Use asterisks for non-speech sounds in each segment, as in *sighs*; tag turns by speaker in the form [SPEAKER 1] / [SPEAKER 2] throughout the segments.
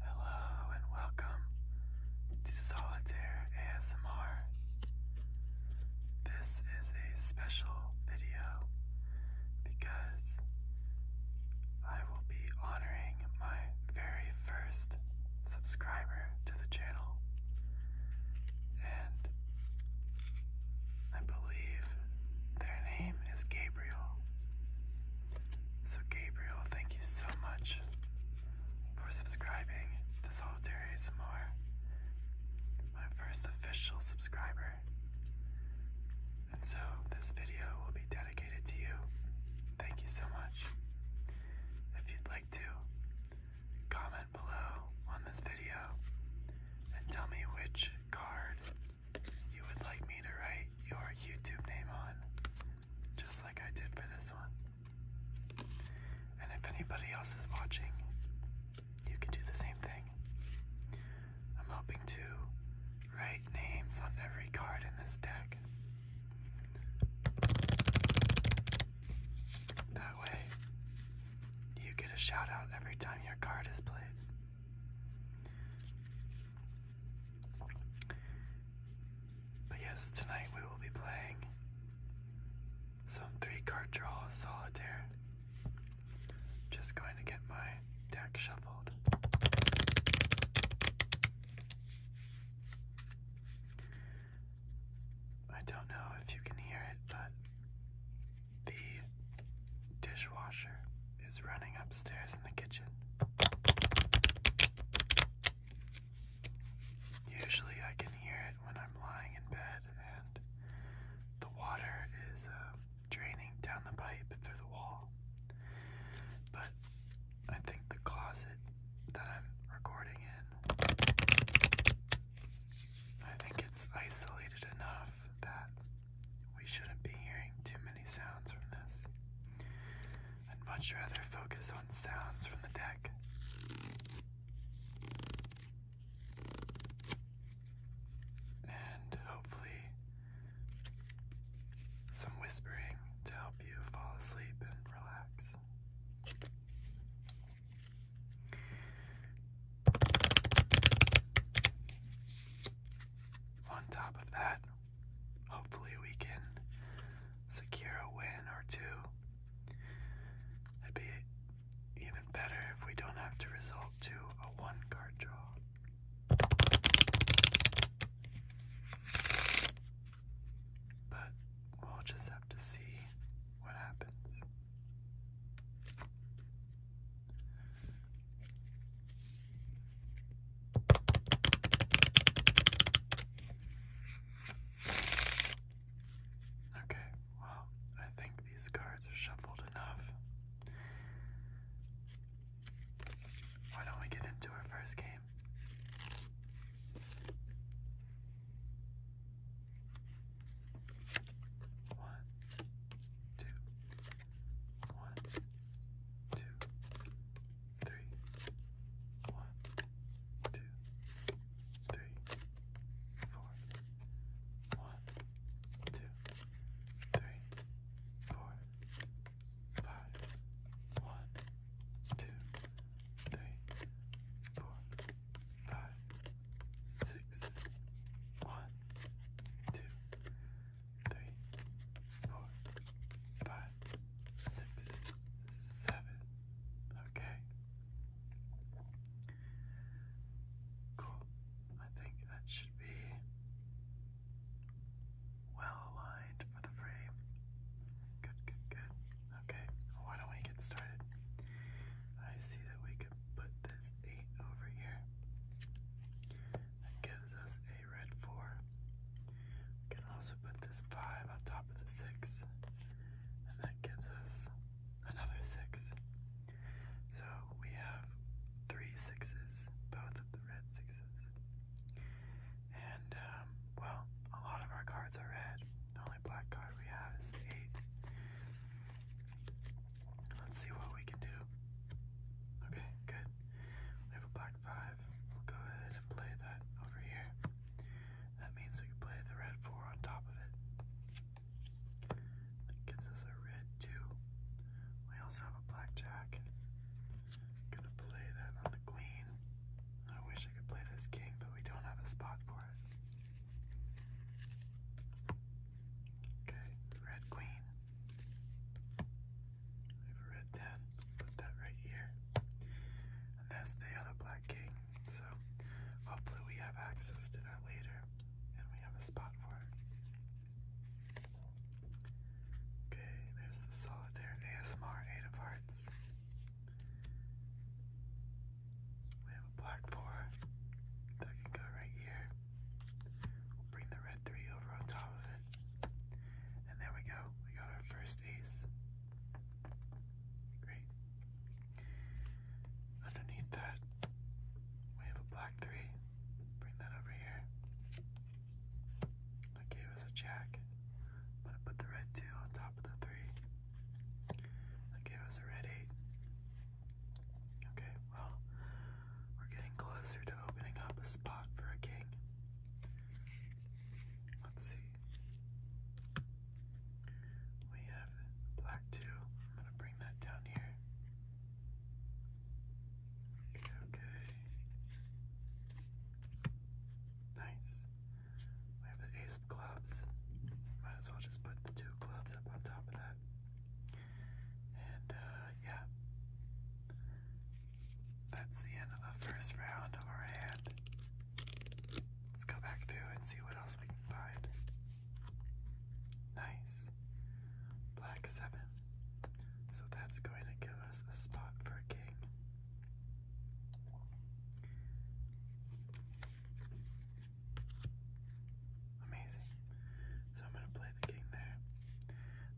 [SPEAKER 1] Hello and welcome to Solitaire ASMR. This is a special video because I will be honoring my very first subscriber to the channel. And I believe their name is Gabriel. So, Gabriel, thank you so much for subscribing to Solitaire ASMR. My first official subscriber. And so, this video will be dedicated to you. Thank you so much. If you'd like to, comment below on this video and tell me which card you would like me to write your YouTube name on just like I did for this one. And if anybody else is watching, you can do the same thing. I'm hoping to write names on every card in this deck. That way, you get a shout out every time your card is played. But yes, tonight we will be playing some three card draw solitaire. Just going to get my deck shuffled. I don't know if you can hear it, but the dishwasher is running upstairs in the kitchen. Usually I can hear it when I'm lying in bed and the water is uh, draining down the pipe through the wall. But I think the closet that I'm recording in, I think it's isolated enough that we shouldn't be hearing too many sounds from this. I'd much rather focus on sounds from the deck. And hopefully, some whispering to help you fall asleep and relax. On top of that, Hopefully, we can secure a win or two. It'd be even better if we don't have to resort to a one card draw. But we'll just have to see what happens. Okay, well, I think these cards are shuffled enough. Why don't we get into our first game? One, two, one, two, three, one, two, three, four, one, two, three, four, five, one, two, three, four, five, six, one, two, three, four, five, six, seven. Okay. Cool. I think that should be well aligned for the frame. Good, good, good. Okay, why don't we get started? I see that we could put this 8 over here. That gives us a already four. We can also put this five on top of the six, and that gives us another six. So we have three sixes, both of the red sixes. And, um, well, a lot of our cards are red. The only black card we have is the eight. Let's see what we can do. Okay, good. We have a black 5. We'll go ahead and play that over here. That means we can play the red 4 on top of it. That gives us a red 2. We also have a blackjack. gonna play that on the queen. I wish I could play this king, but we don't have a spot for it. Okay, red queen. I have a red 10, put that right here. And that's the other black king. So hopefully we have access to that later and we have a spot for it. Okay, there's the solitaire ASMR 8 of hearts. We have a black 4 that can go right here. We'll bring the red 3 over on top of it. And there we go. We got our first ace. Great. Underneath that, we have a black three. Bring that over here. That gave us a jack. gonna put the red two on top of the three. That gave us a red eight. Okay, well, we're getting closer to opening up a spot for a king. Let's see. We have black two. I'm gonna bring that down here. Okay, okay. Nice. We have the ace of clubs. Might as well just put the two clubs up on top of that. And uh, yeah. That's the end of the first round of our hand. Let's go back through and see what else we can find. Nice. Black 7. So that's going to give us a spot for king. Amazing. So I'm going to play the king there.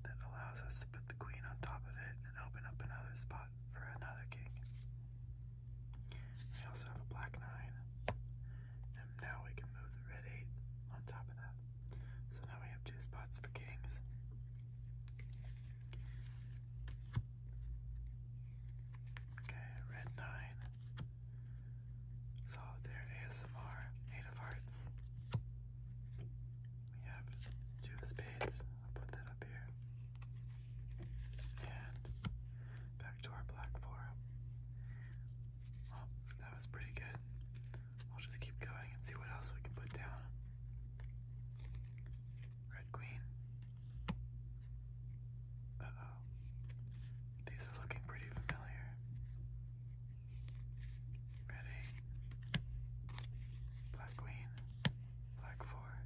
[SPEAKER 1] That allows us put the queen on top of it and open up another spot for another king. We also have a black nine, and now we can move the red eight on top of that. So now we have two spots for kings. Okay, red nine. Solitaire ASMR, eight of hearts. We have two of spades. I'll put that up here. And back to our black forum. Well, oh, that was pretty good. We'll just keep going and see what else we can put down. Red Queen. Uh oh. These are looking pretty familiar. Ready? Black queen, black four.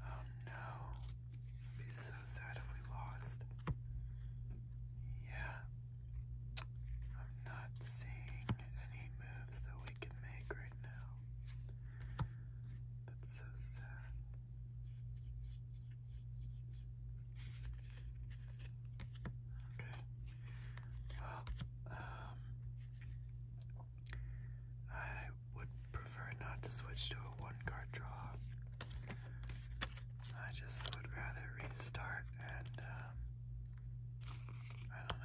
[SPEAKER 1] Um, oh no, be so sad if we lost. Yeah, I'm not seeing any moves that we can make right now. That's so sad. Okay. Well, um, I would prefer not to switch to a one card draw. I just would rather restart and, um, I don't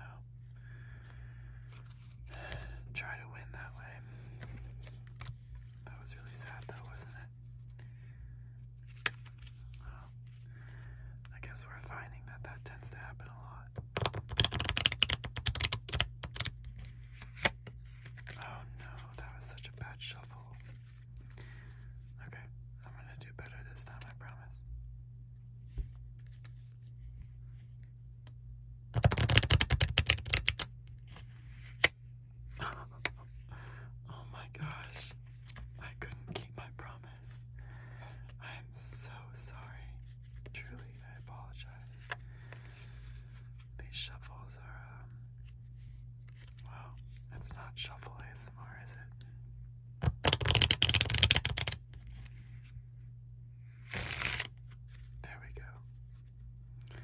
[SPEAKER 1] know, *sighs* try to win that way. That was really sad though, wasn't it? Well, I guess we're finding that that tends to happen a lot. Oh no, that was such a bad shuffle. Okay, I'm gonna do better this time, I promise. *laughs* oh my gosh, I couldn't keep my promise. I'm so sorry. Truly, I apologize. These shuffles are, um, it's not shuffle ASMR, is it? There we go.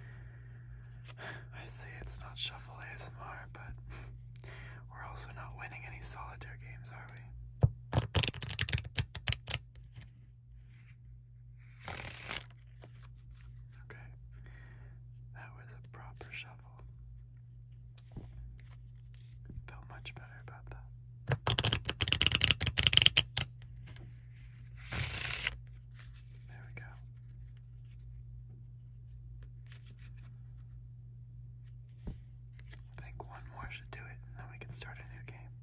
[SPEAKER 1] I see it's not shuffle ASMR, but we're also not winning any solitaire games, are we? Okay, that was a proper shuffle. Felt much better about that. There we go. I think one more should do it, and then we can start a new game.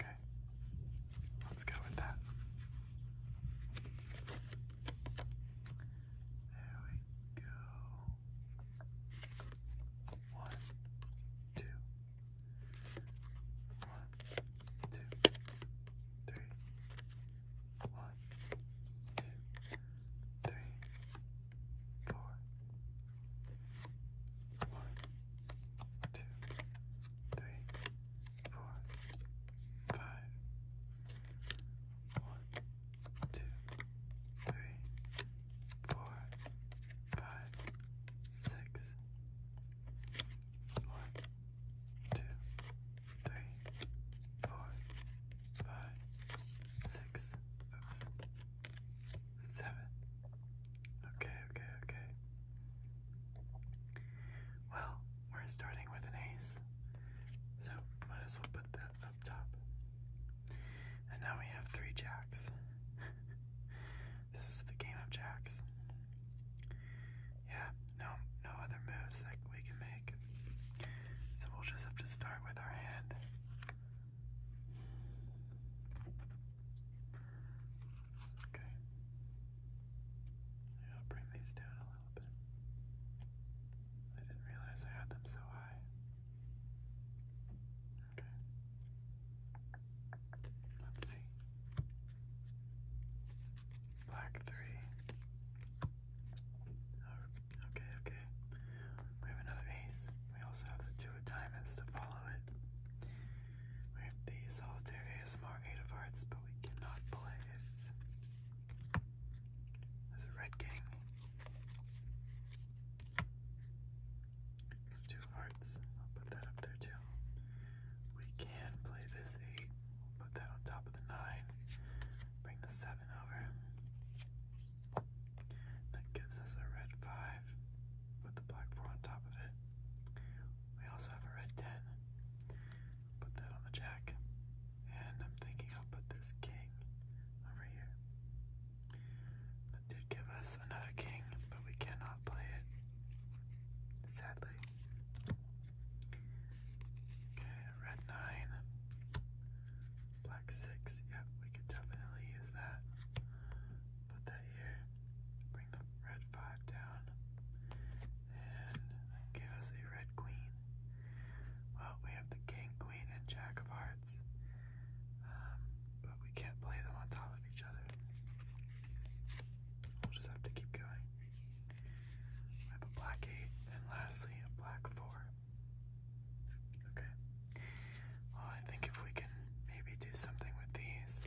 [SPEAKER 1] Okay, let's go with that. There we go. One, two, one, two, three, one, two, three, four. One, two, three, four, five. One, two, three, four, five, six. One, two, three, four, five, six, Okay, okay, okay. Well, we're starting with an ace, so might as well put that up top. And now we have three jacks. this is the game of jacks. Yeah, no, no other moves that we can make. So we'll just have to start with our hand. Okay. Yeah, bring these down a little bit. I didn't realize I had them so high. Okay. Let's see. Black three. Oh, okay, okay. We have another ace. We also have the two of diamonds to follow it. We have the solitaire ASMR eight of hearts, but we cannot play it. There's a red king. Two hearts. I'll put that up there too. We can play this 8, put that on top of the 9, bring the 7 over. That gives us a red 5, put the black 4 on top of it. We also have a red 10, put that on the jack. And I'm thinking I'll put this king over here. That did give us another king, but we cannot play it. Sadly. Okay, red nine, black six. Yeah, we could definitely use that. Put that here. Bring the red five down, and give us a red queen. Well, we have the king, queen, and jack of hearts, um, but we can't play them on top of each other. We'll just have to keep going. I have a black eight, and lastly a black four. Okay. Well, I think if we can maybe do something with these,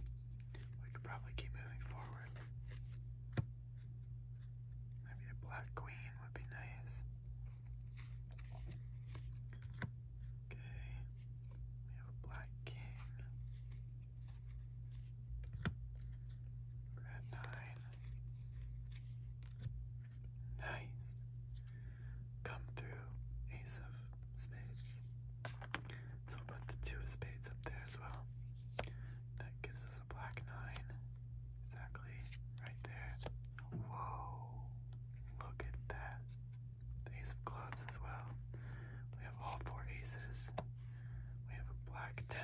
[SPEAKER 1] we could probably keep moving forward. Maybe a black queen would be nice. Okay. We have a black king we nine. Nice. Come through, ace of spades. So we'll put the two spades up there as well. That gives us a black nine. Exactly right there. Whoa. Look at that. ace of clubs as well. We have all four aces. We have a black 10,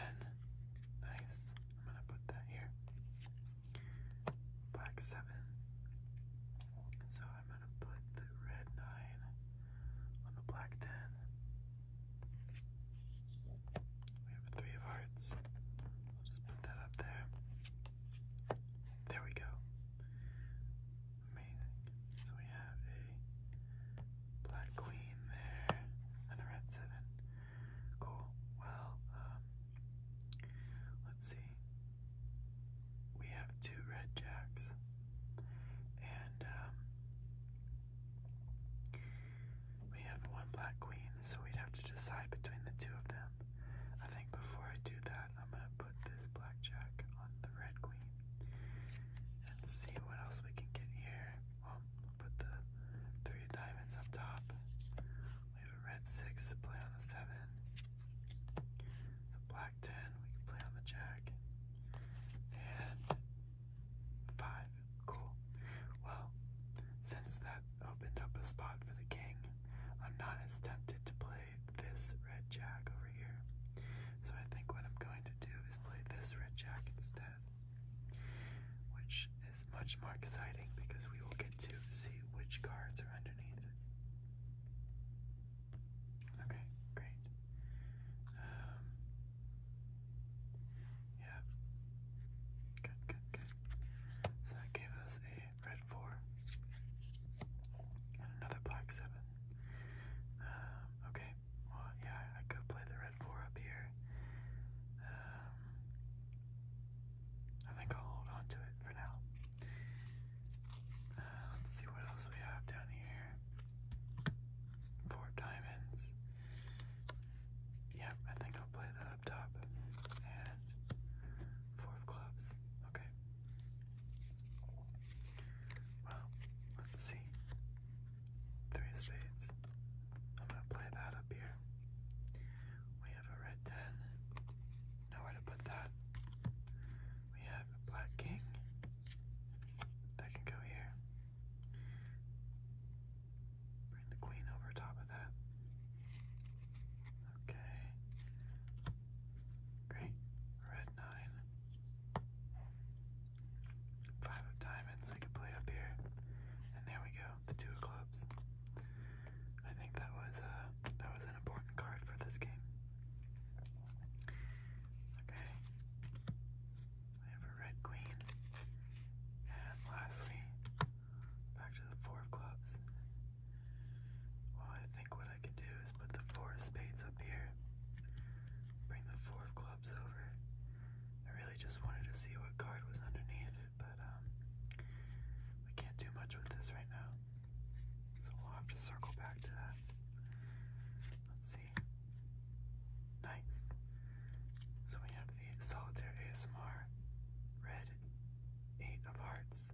[SPEAKER 1] Nice. I'm gonna put that here. Black seven. So I'm gonna put the red nine on the black ten. We have a three of hearts. I'll just put that up there. There we go. Amazing. So we have a Black queen there, and a red seven. Cool. Well, um, let's see. We have two red jacks, and um, we have one black queen, so we'd have to decide between the two of them. I think before I do that, I'm gonna put this black jack on the red queen and see what else we can get here. Well, put the three diamonds up top. We have a red six to play on the seven. The black ten we can play on the jack. And five. Cool. Well, since that opened up a spot for the king, I'm not as tempted to play this red jack over here. So I think what I'm going to do is play this red jack instead which is much more exciting because we will get to see which cards are underneath Okay, great. Um, yeah. Good, good, So that gave us a red 4 and another black 7. Um, okay, well, yeah, I could play the red four up here. Um, I think I'll hold on to it for now. Uh, let's see what else we have down here. Four diamonds. Yep, I think I'll play that up top. And four of clubs. Okay. Well, let's see. Three of spades. I'm gonna play that up here. We have a red ten. Nowhere to put that. We have a black king. That can go here. Bring the queen over top of that. Okay. Great. Red nine. Five of diamonds we could play up here. And there we go, the two of clubs. I think that was a uh, that was an important card for this game. Okay. We have a red queen. And lastly, back to the four of clubs. Well I think what I can do is put the four of spades up here. Bring the four of clubs over. I really just wanted to see what card was underneath it, but um, we can't do much with this right now. So we'll have to circle back to that. Let's see. Nice. So we have the solitaire ASMR red eight of hearts.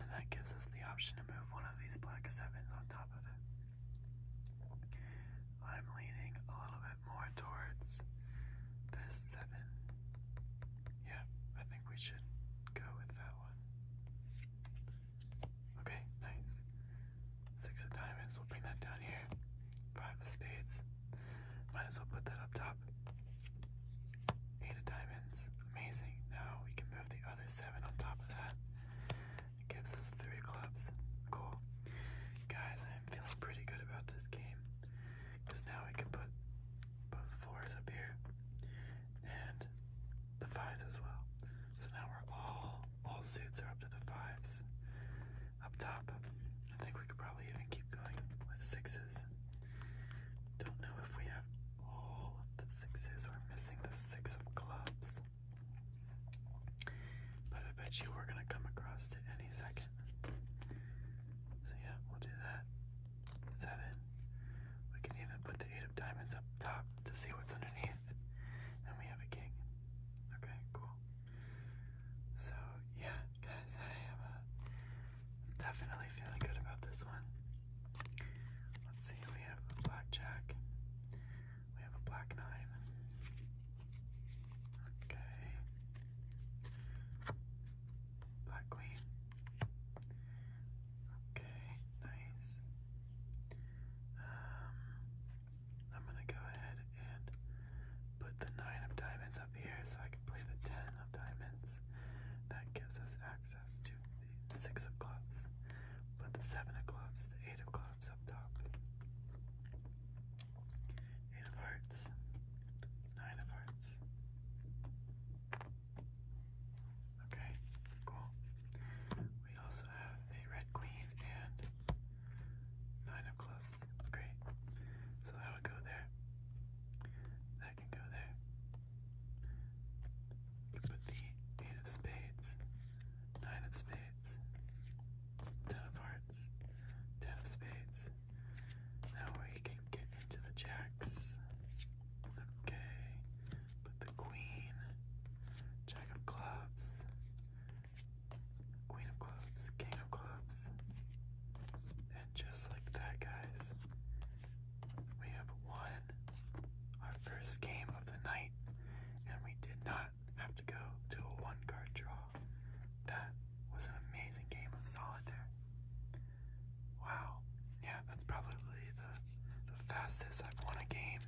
[SPEAKER 1] And that gives us the option to move one of these black sevens on top of it. I'm leaning a little bit more towards this seven. Yeah, I think we should go with that one. Okay, nice. Six of diamonds, we'll bring that down here. Five of spades, might as well put that up top. Eight of diamonds, amazing. Now we can move the other seven on top of that. gives us three clubs. Cool. Guys, I'm feeling pretty good about this game because now I can put both fours up here and the fives as well. So now we're all all suits are up to the fives up top. I think we could probably even keep going with sixes. Don't know if we have all the sixes. We're missing the six of clubs. But I bet you we're gonna come across it any second. So yeah, we'll do that. Seven. We can even put the eight of diamonds up top to see what's underneath. And we have a king. Okay, cool. So yeah, guys, I am definitely feeling good about this one. Let's see, we have a blackjack. We have a black nine. Okay. Black queen. Okay, nice. Um, I'm gonna go ahead and put the nine of diamonds up here so I can play the ten of diamonds. That gives us access to the six of clubs. Put the seven of clubs, the eight of clubs up top. Eight of Hearts, Nine of Hearts. Okay, cool. We also have a Red Queen and Nine of Clubs. Great. So that'll go there. That can go there. Put the Eight of Spades, Nine of Spades. Ten of hearts. Ten of spades. Now we can get into the jacks. Okay. Put the queen. Jack of clubs. Queen of clubs. King of clubs. And just like that, guys, we have won our first game of the night, and we did not have to go to a one card draw. That was an amazing game of solitaire. Wow. Yeah, that's probably the, fastest I've won a game.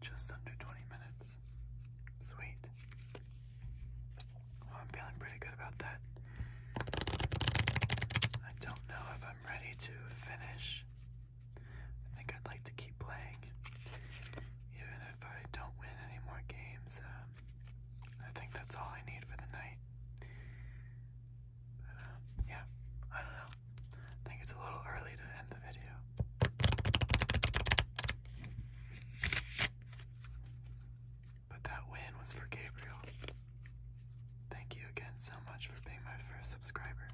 [SPEAKER 1] Just under 20 minutes. Sweet. I'm feeling pretty good about that. I don't know if I'm ready to finish. I think I'd like to keep playing, even if I don't win any more games, um, I think that's all I need for the night. Um, yeah, I don't know. I think it's a little early to end the video. But that win was for Gabriel. Thank you again so much for being my first subscriber.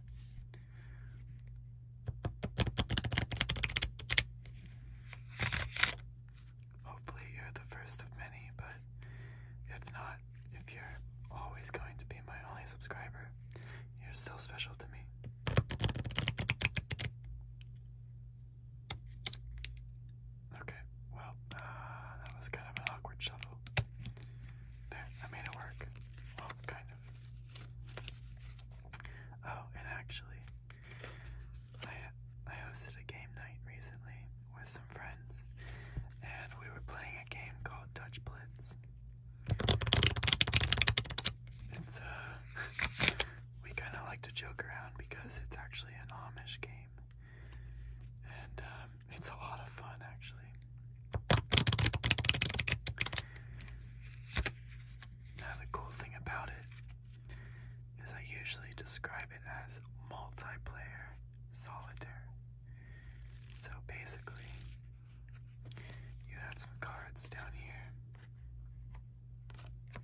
[SPEAKER 1] Hopefully, you're the first of many, but if not, if you're always going to be my only subscriber, you're still special to me. Okay, well, uh, that was kind of an awkward shuffle. There, I made it work. Well, kind of. Oh, and actually, I I hosted a game night recently with some friends, and we were playing a game called Dutch Blitz. It's uh, *laughs* we kind of like to joke around because it's actually an Amish game, and um, it's a lot of fun actually. Now, the cool thing about it is I usually describe it as multiplayer solitaire. So basically, you have some cards down here.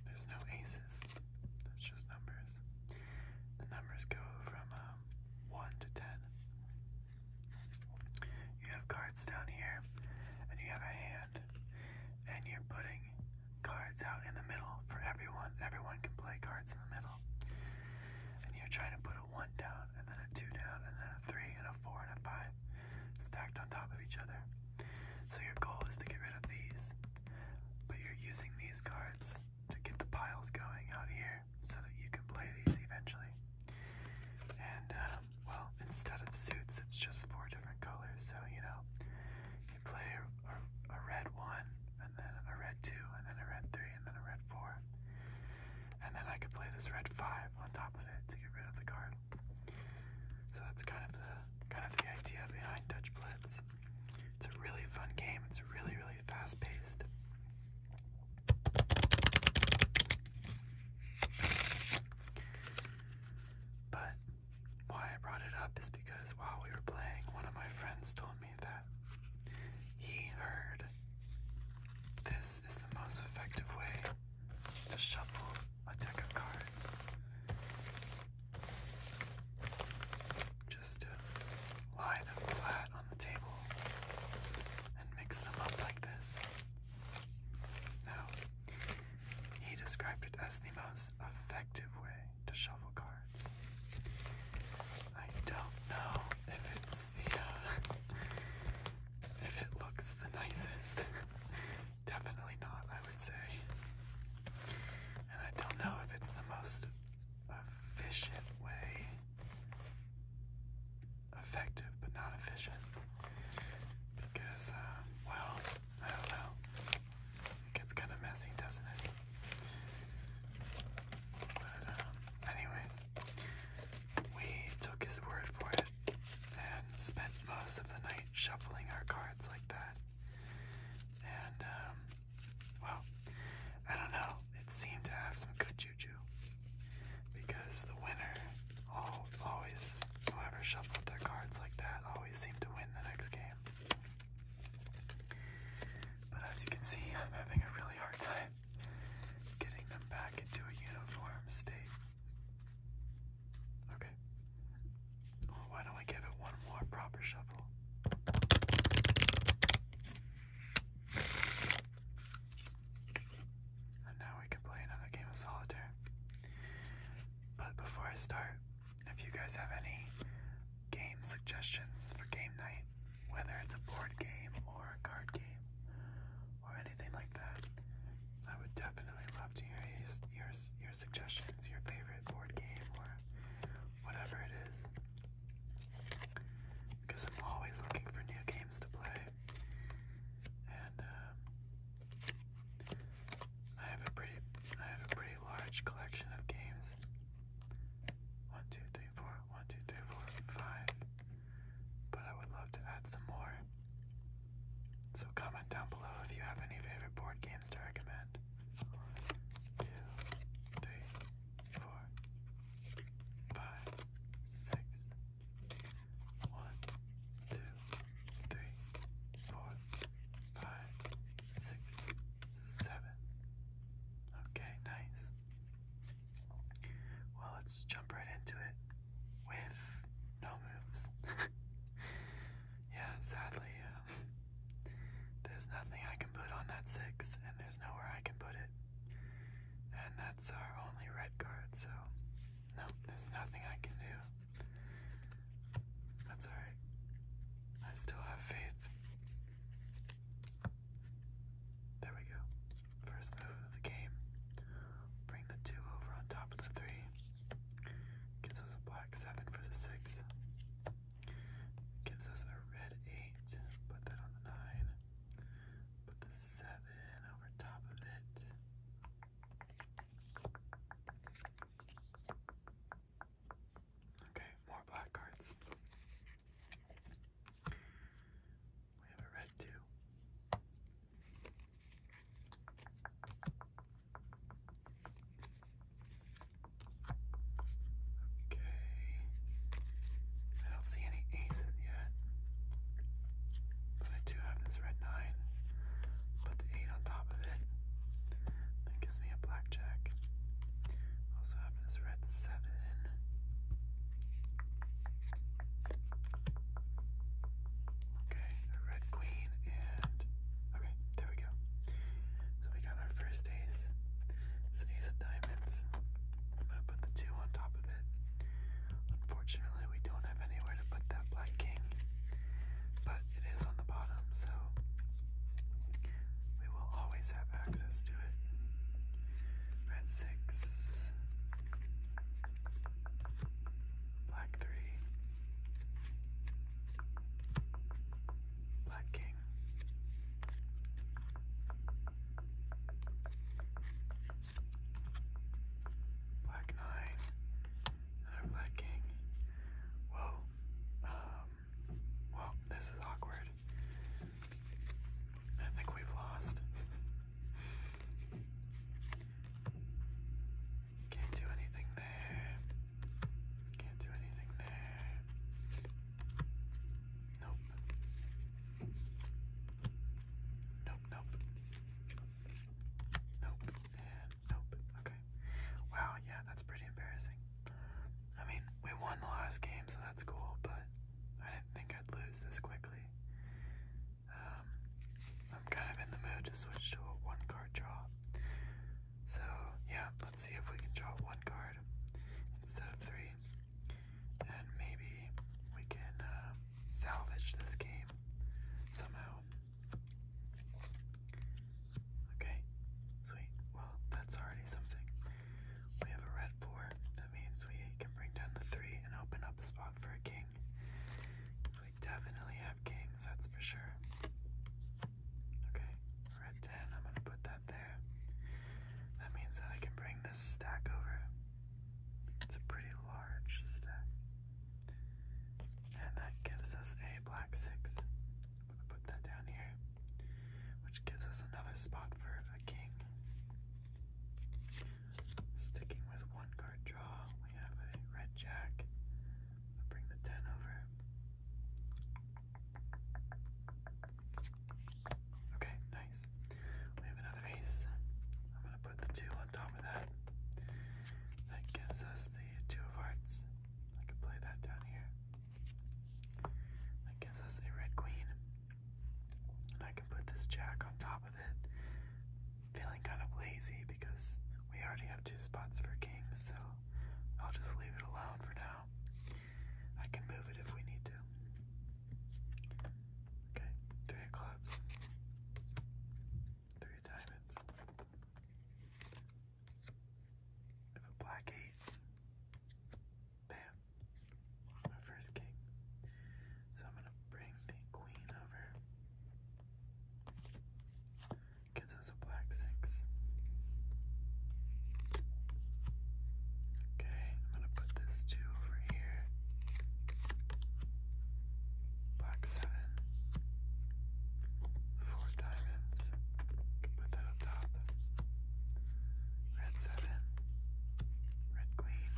[SPEAKER 1] There's no aces, that's just numbers. The numbers go from um, 1 to 10. You have cards down here, and you have a hand and you're putting cards out in the middle for everyone. Everyone can play cards in the middle. And you're trying to put a one down, and then a two down, and then a three, and a four, and a five stacked on top of each other. So your goal is to get rid of these, but you're using these cards to get the piles going out here so that you can play these eventually. And um, well, instead of suits, it's just four different colors. So, you know, you play a, red one, and then a red two, and then a red three, and then a red four. And then I could play this red five on top of it to get rid of the card. So that's kind of the kind of the idea behind Dutch Blitz. It's a really fun game. It's really, really fast paced. But why I brought it up is because while we were playing, one of my friends told me that he heard this is the most effective way to shuffle a deck of cards. Just to lie them flat on the table and mix them up like this. Now, he described it as the most effective way to shuffle cards. I don't know if it's the uh, if it looks the nicest. *laughs* Definitely not, I would say. And I don't know if it's the most efficient way. Effective, but not efficient. Because, uh, well, I don't know. It gets kind of messy, doesn't it? But, um, anyways, we took his word for it and spent most of the night shuffling our cards like that. And, um, well, I don't know. It seemed to have some good juju because the winner always, whoever shuffled their cards like that always seem to win the next game. But as you can see, I'm having a really hard time getting them back into a uniform state. Okay. why don't we give it one more proper shuffle? And now we can play another game of solitaire. But before I start, if you guys have any game suggestions for game night, whether it's a board game or a card game or anything like that, I would definitely love to hear your, your, your suggestions, your favorite board game or whatever it is. Because I'm always looking for new games to play. And um, I have a pretty I have a pretty large collection of games. One, two, three, four, one, two, three, four, five. But I would love to add some more. So comment down below if you have any favorite board games to recommend three, four, five, six, seven. Okay, nice. Well, let's jump right into it with no moves. yeah, sadly, there's nothing I can put on that six, and there's nowhere I can put it. And that's our only red card, so no, there's nothing I can do. That's alright. I still have faith. There we go. First move of the game. Bring the 2 over on top of the 3. Gives us a black 7 for the 6. Gives us a red 8. Put that on the 9. Put the 7 over top of it. Okay, more black cards. We have a red two. Okay. I don't see any aces yet. But I do have this red 9. Put the 8 on top of it. That gives me a blackjack. Also have this red 7. Okay, a red queen and. Okay, there we go. So we got our first ace. ace of diamonds. I'm gonna put the 2 on top of it. Unfortunately, we don't have anywhere to put that black king but it is on the bottom, so we will always have access to it. Red 6, Black 3, Black King. Black nine, Another black king. Whoa. Um, well, this is awkward. I think we've lost. Can't do anything there. Can't do anything there. Nope. Nope, nope. Nope, Nope. Okay. Wow, yeah, that's pretty embarrassing. I mean, we won the last game, so that's cool, but I didn't think I'd lose this quickly. Um, I'm kind of in the mood to switch to a one card draw. So, yeah, let's see if we can draw one card instead of three. And maybe we can uh, salvage this game somehow. Okay, sweet. Well, that's already something. We have a red four. That means we can bring down the three and open up a spot for a king. So we definitely have kings, that's for sure. Okay, red ten. I'm gonna put that there. That means that I can bring this stack over. It's a pretty large stack. And that gives us a black six. I'm gonna put that down here, which gives us another spot for a king. Sticking with one card draw, we have a red jack. I'll bring the 10 over. Okay, nice. We have another ace. I'm gonna put the 2 on top of that. That gives us the two of hearts. I can play that down here. That gives us a red queen. And I can put this jack on top of it. Feeling kind of lazy because we already have two spots for kings, so I'll just leave it alone for now. I can move it if we need to. Okay, three of clubs, three diamonds. If a black eight, bam, my first king. So I'm gonna bring the queen over. Gives us a black six. Okay, I'm gonna put this two over here black seven, four diamonds, can put that up top, red seven, red queen,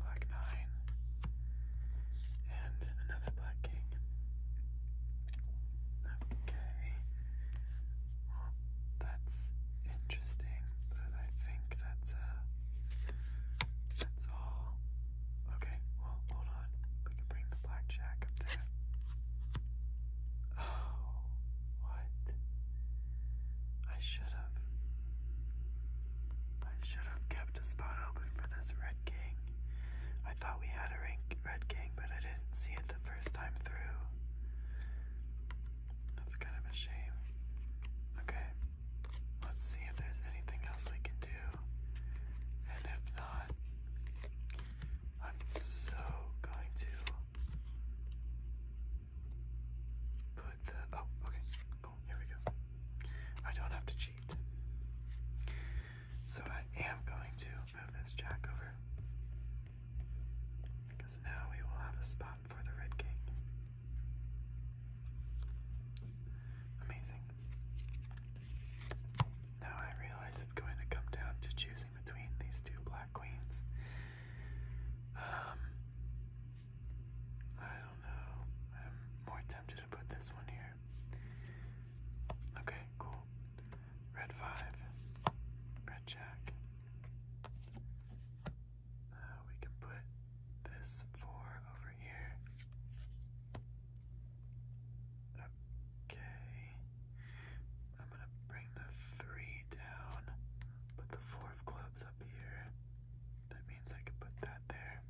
[SPEAKER 1] black nine, and another black king. Okay, well, that's interesting, but I think that's, uh, that's all. Okay, well, hold on. We can bring the blackjack up there. Oh, what? I should have. I should have kept a spot open for this red king. I thought we had a red king, but I didn't see it the first time through. That's kind of a shame. Okay. Let's see if there's anything else we can do. And if not, I'm so going to put the. Oh, okay. Cool. Here we go. I don't have to cheat. So I am going to move this jack over. Because now we will have a spot for the Red King. Amazing. Now I realize it's going to come down to choosing between these two black queens. Um, I don't know. I'm more tempted to put this one here. Okay, cool. Red 5, Red Jack. Uh, we can put this 4 over here. Okay. I'm gonna bring the three down, put the four of clubs up here. That means I can put that there.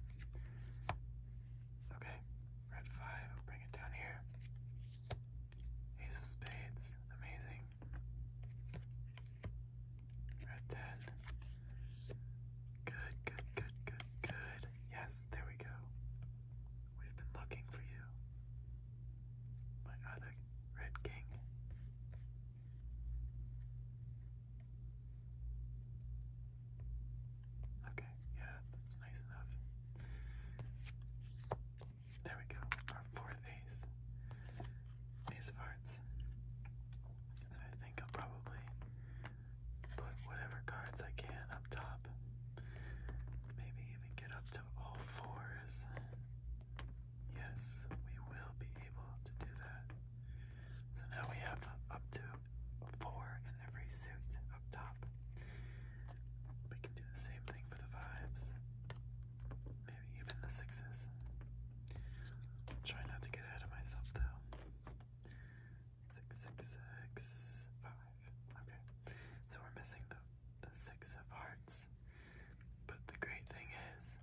[SPEAKER 1] Okay, red five, I'll bring it down here. Ace of spades, amazing. Red ten. Good, good, good, good, good. Yes, there we go. We've been looking for you. My other Red King. Okay, yeah, that's nice enough. There we go, our fourth ace. Ace of Hearts. So I think I'll probably put whatever cards I can up top. Maybe even get up to all fours. Yes, we will be able to do that. So now we have up to four in every suit up top. We can do the same thing for the fives. Maybe even the 6s try not to get ahead of myself though six, six, six, five. Okay, so we're missing the, the six of hearts. But the great thing is,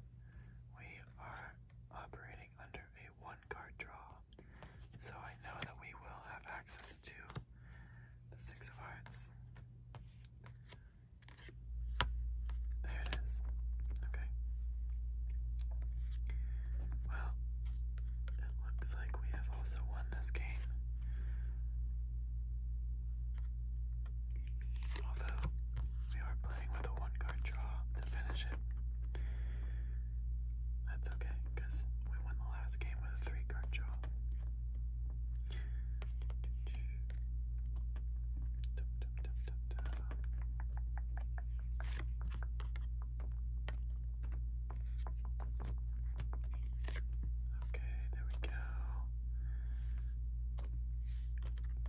[SPEAKER 1] we are operating under a one card draw. So I know that we will have access to the six of hearts. There it is. Okay. Well, it looks like we have also won this game. Although, we are playing with a one card draw to finish it. That's okay, because we won the last game with a three card draw. Okay, there we go.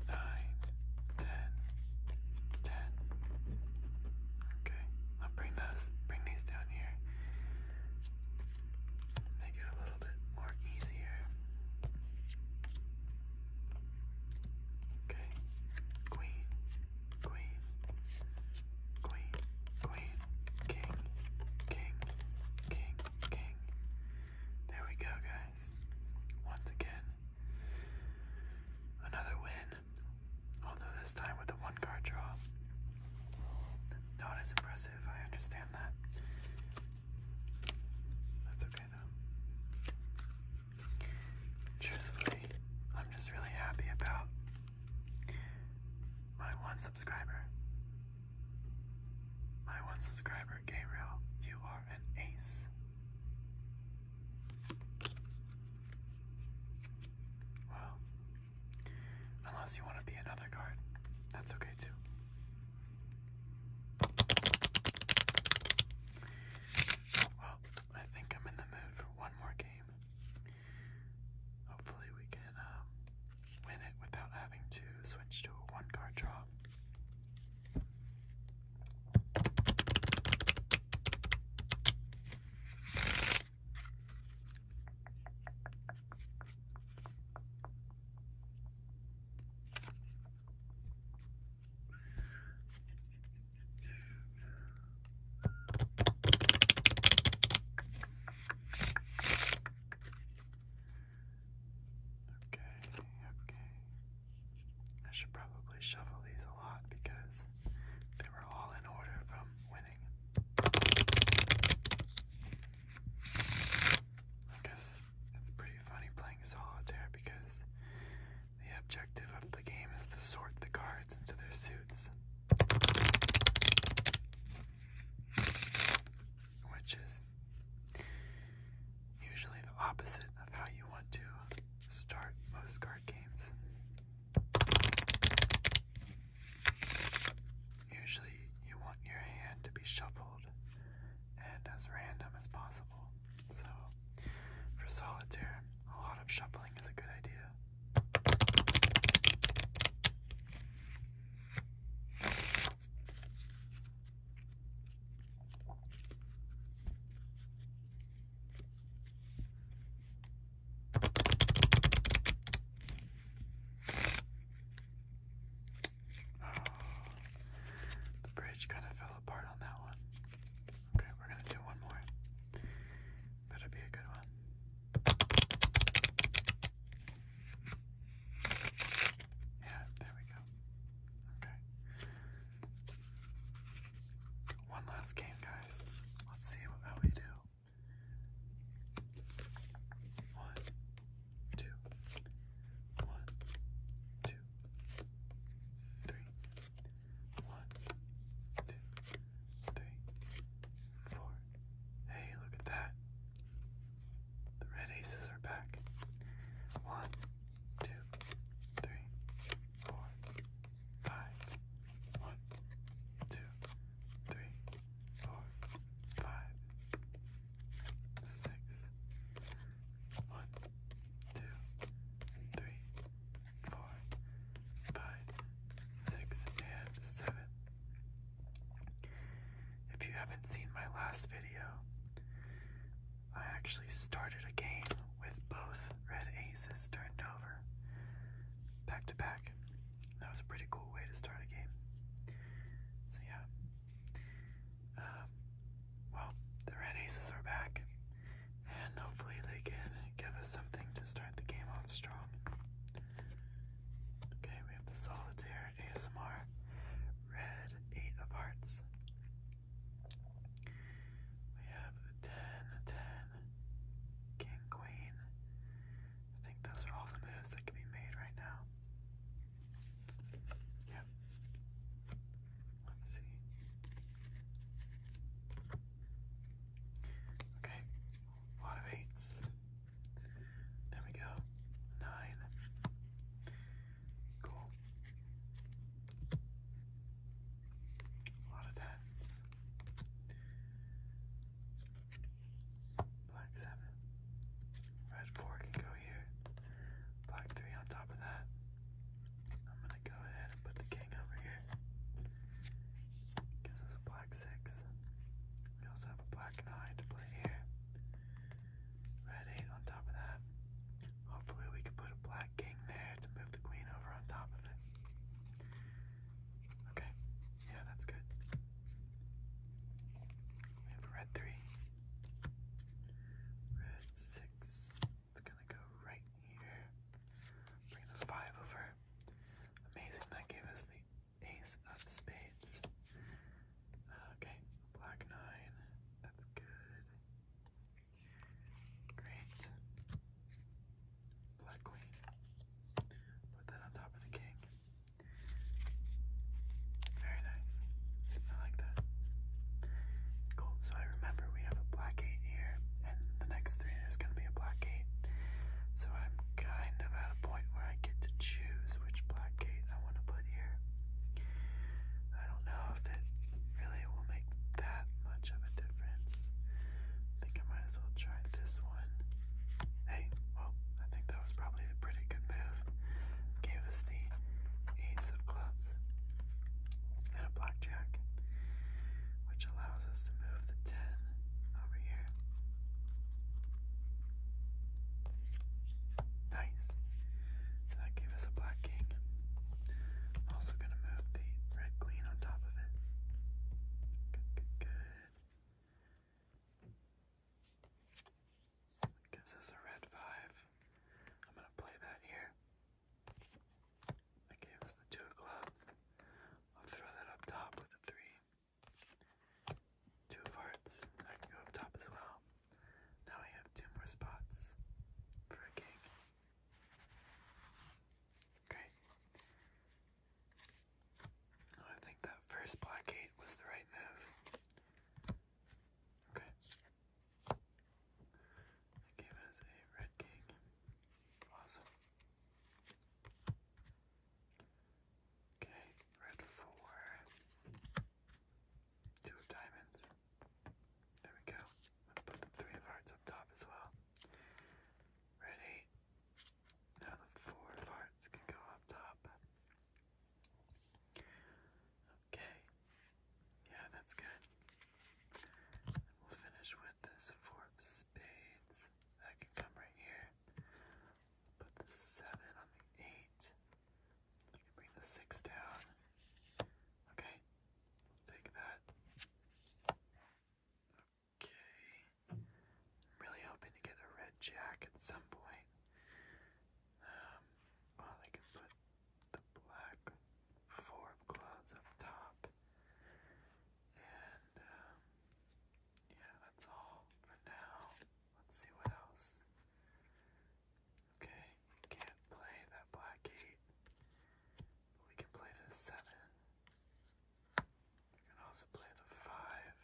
[SPEAKER 1] Nine, ten, ten. Okay, now bring those, bring these down here. Make it a little bit more easier. Okay, queen, queen, queen, queen, king, king, king, king. There we go, guys. Once again, another win. Although this time with a one card draw. Not as impressive, I understand that. That's okay though. Truthfully, I'm just really happy about my one subscriber. My one subscriber, Gabriel, you are an ace. Well, unless you want to be another card, that's okay too. Well, I think I'm in the mood for one more game. Hopefully, we can um, win it without having to switch to a one card draw. Okay, okay. I should probably shuffle these a lot because they were all in order from winning. I guess it's pretty funny playing solitaire because the objective of the game is to sort the cards into their suits, which is usually the opposite of how you want to start most card games. Usually, you want your hand to be shuffled and as random as possible. So, for solitaire, a lot of shuffling is a good idea. Oh, the bridge kind of fell apart on that one. Okay, we're gonna do one more. Better be a good one. Yeah, there we go. Okay. One last game, guys. Let's see what, we do. One, two, one, two, three, one, two, three, four. Hey, look at that. The red aces are back. One, two, three, four, five. One, two, three, four, five, six. One, two, three, four, five, six, and seven. If you haven't seen my last video, I actually started a game with both red aces turned over back to back. That was a pretty cool way to start a game. So, yeah. Um, well, the red aces are back and hopefully they can give us something to start the game off strong. Okay, we have the solitaire ASMR red eight of hearts. We have a king, queen. I think those are all the moves that can be made right now. Yep. Let's see. Okay, a lot of eights. There we go. Nine. Cool. A lot of tens. Black seven. Red four can go here. Black three on top of that go ahead and put the king over here. Gives us a black six. We also have a black nine to play here. Red eight on top of that. Hopefully we can put a black king there to move the queen over on top of it. Okay, yeah, that's good. We have a red three. Red six. It's gonna go right here. Bring the five over. Amazing, that gave us the ace of spades. Uh, okay, black nine. That's good. Great. Black queen. Put that on top of the king. Very nice. I like that. Cool. So I remember we have a black eight here and the next three is going to be a black gate. So I'm kind of at a point where I get to choose which black gate I want to put here. I don't know if it really will make that much of a difference. I think I might as well try this one. Hey, well, I think that was probably a pretty good move. Gave us the ace of clubs and a black which allows us to move the 10 over here. Nice. that gave us a black king. also going to move the red queen on top of it. Good, good, good. Gives us a red 5. I'm going to play that here. That gave us the 2 of clubs. I'll throw that up top with a three. Two of hearts. I can go up top as well. Now we have two more spots for a king. Great. Oh, I think that first black eight was the right move. Okay. That game has a red king. Awesome. Okay, red four, two of diamonds. There we go. put the three of hearts up top as well. Red eight. Now the four of hearts can go up top. Okay. Yeah, that's good. we'll finish with this four of spades. That can come right here. Put the seven on the eight. bring the six down. Okay, take that. Okay, I'm really hoping to get a red jack at some point. Um, well, I can put the black four of clubs up top. And um, yeah, that's all for now. Let's see what else. Okay, we can't play that black eight, but we can play the seven. We can also play the five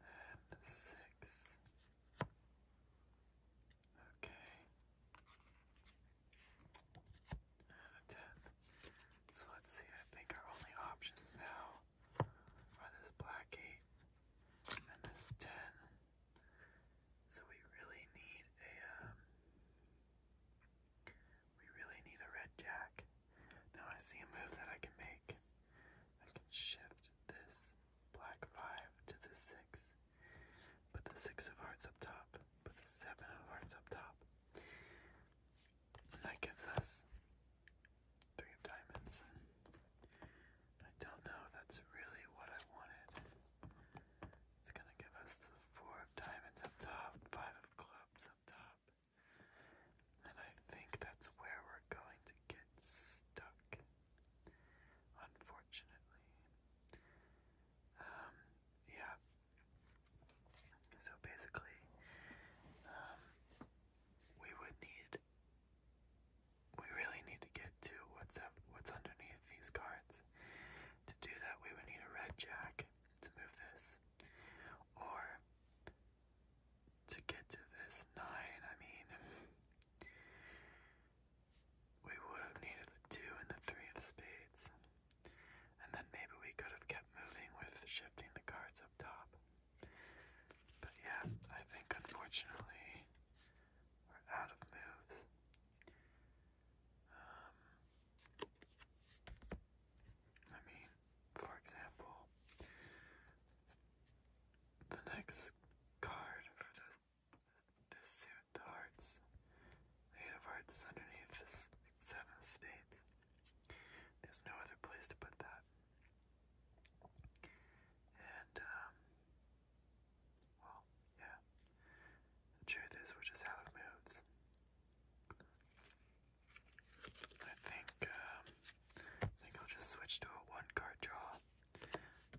[SPEAKER 1] and the six. Okay and a 10. So let's see, I think our only options now are this black 8 and this 10. So we really need a, um, we really need a red jack. Now I see a move that I can make. I can shift this black 5 to the 6, put the 6 of hearts up top with the seven of hearts up top. And that gives us three of diamonds. I don't know if that's really what I wanted. It's gonna give us the four of diamonds up top, five of clubs up top. And I think that's where we're going to get stuck. Unfortunately. Um, yeah. So basically, um, we would need, we really need to get to what's what's underneath these cards. To do that, we would need a red jack to move this, or to get to this nine. I mean, we would have needed the two and the three of spades. And then maybe we could have kept moving with shifting the cards up top. But yeah, I think unfortunately we're out of moves. Um, I mean, for example, the next card for the this suit, the hearts, the eight of hearts underneath the seven of spades. There's no other place to put that. And, um, well, yeah. The truth is, we're just out of moves. I think, um, I think I'll just switch to a one card draw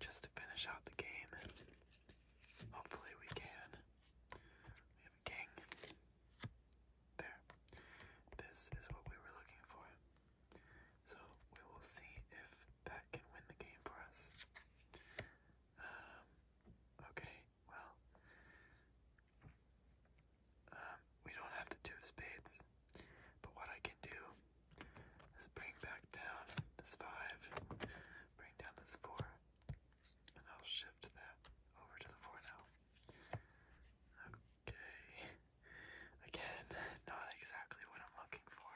[SPEAKER 1] just to finish out the game. Hopefully, we can. We have a king. There. This is what we were looking for. So we will see if that can win the game for us. Um, okay, well. Um, we don't have the two spades. But what I can do is bring back down this five, bring down this four, and I'll shift that over to the 4 now. Okay. Again, not exactly what I'm looking for.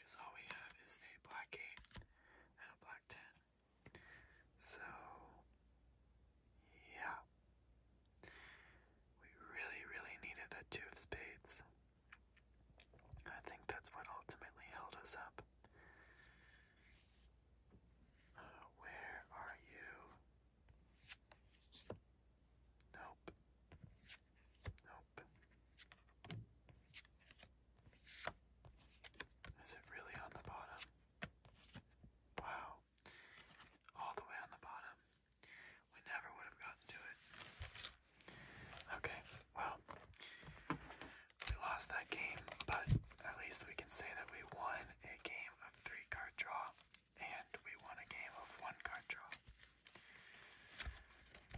[SPEAKER 1] Because all we have is a black 8 and a black 10. So, yeah. We really, really needed the 2 of spades. I think that's what ultimately held us up. Uh, where are you? Nope. Nope. Is it really on the bottom? Wow. All the way on the bottom. We never would have gotten to it. Okay, well, we lost that game, but at least we can say that we won a game of three card draw and we won a game of one card draw.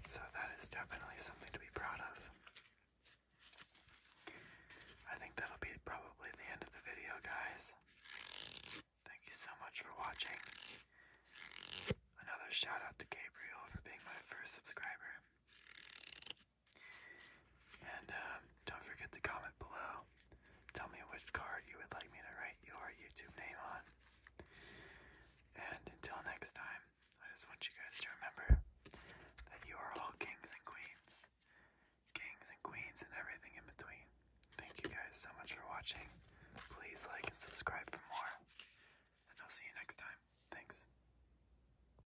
[SPEAKER 1] So that is definitely something to be proud of. I think that'll be probably the end of the video, guys. Thank you so much for watching. Another shout out to Gabriel for being my first subscriber. And uh, don't forget to comment below. Tell me which card you would like me to write your YouTube name on. And until next time, I just want you guys to remember that you are all kings and queens. Kings and queens and everything in between. Thank you guys so much for watching. Please like and subscribe for more. And I'll see you next time. Thanks.